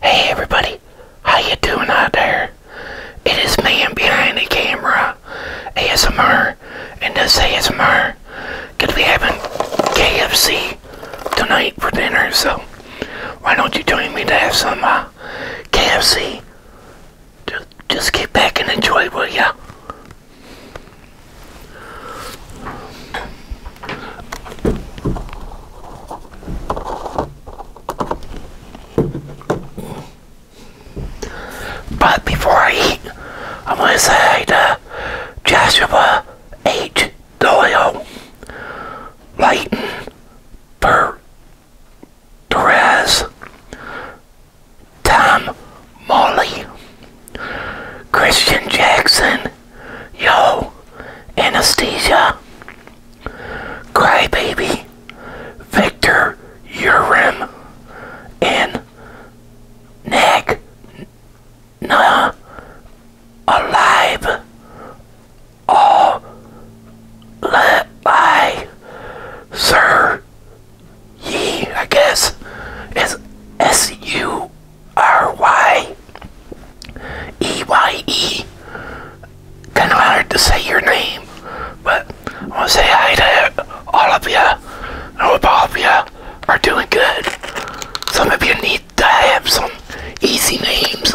Hey everybody, how you doing out there? It is man behind the camera, ASMR, and this ASMR. Gonna be having KFC tonight for dinner, so why don't you join me to have some uh, KFC? Just, just get back and enjoy, will ya? But before I eat, I want to say to Joshua H. Doyle, Leighton Bert Perez, Tom Molly, Christian Jackson, Yo, Anesthesia, Crybaby, Victor Urim, and Nick Nah Alive All Let by Sir Ye, I guess, is S U R-Y E-Y-E. Kind of hard to say your name, but I want to say hi to all of you. I hope all of you are doing good. Some of you need to have some easy names.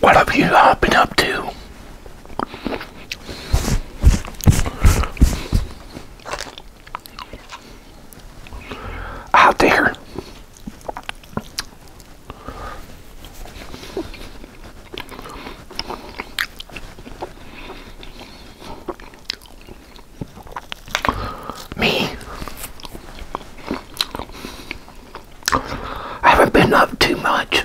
What have you uh, been up to? Out there. Me. I haven't been up too much.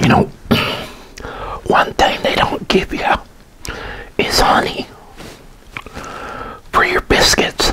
You know, one thing they don't give you is honey for your biscuits.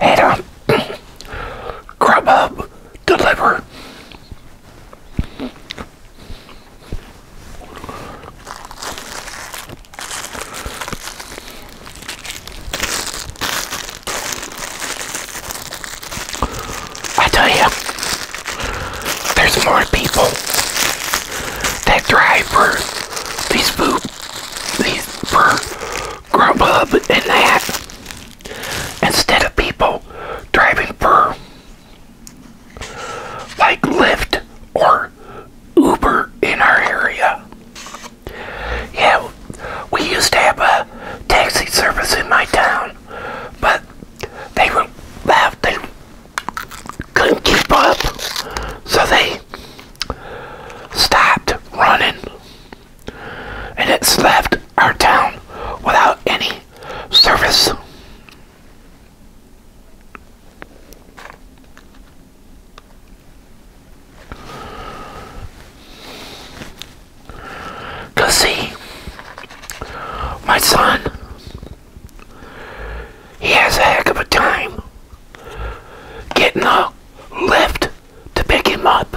Had a Grubhub deliver I tell you, there's more people that drive for these food, these for Grubhub and that, instead of people driving for like Lyft or Uber in our area. Yeah, we used to have a taxi service in my town, but they were left. They couldn't keep up, so they stopped running, and it's left our town without any service. Because, see, my son, he has a heck of a time getting a lift to pick him up.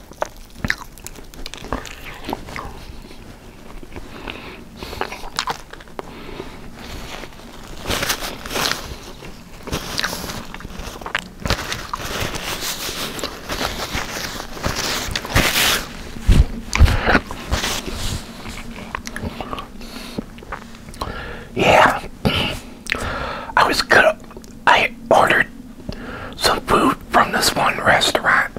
Yeah, I was gonna I ordered some food from this one restaurant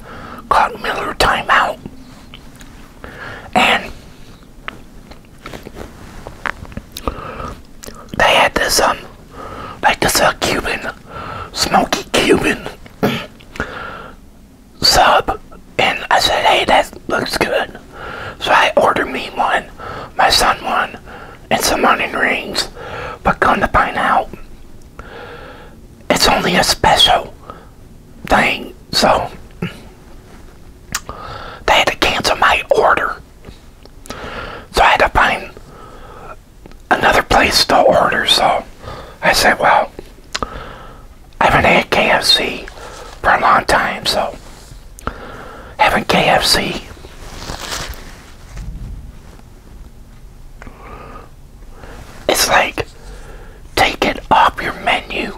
called Miller Timeout. And they had this, um, like this uh, Cuban, smoky Cuban sub. And I said, hey, that looks good. So I ordered me one, my son one, and some onion rings. But come to find out, it's only a special thing, so they had to cancel my order. So I had to find another place to order, so I said, well, I haven't had KFC for a long time, so I having KFC it's like, take it off your menu.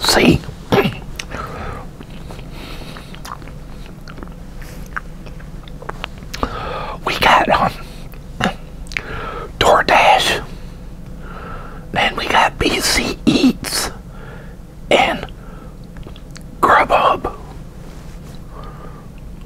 See? We got um, DoorDash, then we got BC Eats, and Grubhub.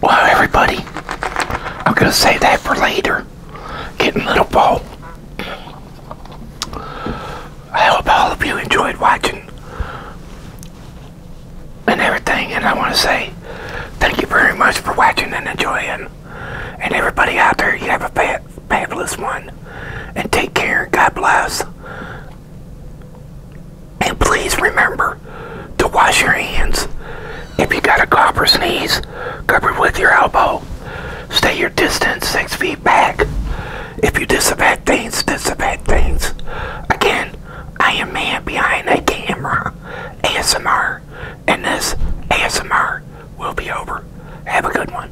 Wow, everybody, I'm going to save that for later. Getting little bold. I hope all of you enjoyed watching and everything. And I want to say thank you very much for watching and enjoying. And everybody out there, you have a fabulous one. And take care. God bless. And please remember to wash your hands. If you got a cough or sneeze, cover it with your elbow. Stay your distance six feet back. If you disinfect things, disinfect things. Again, I am man behind a camera, ASMR, and this ASMR will be over. Have a good one.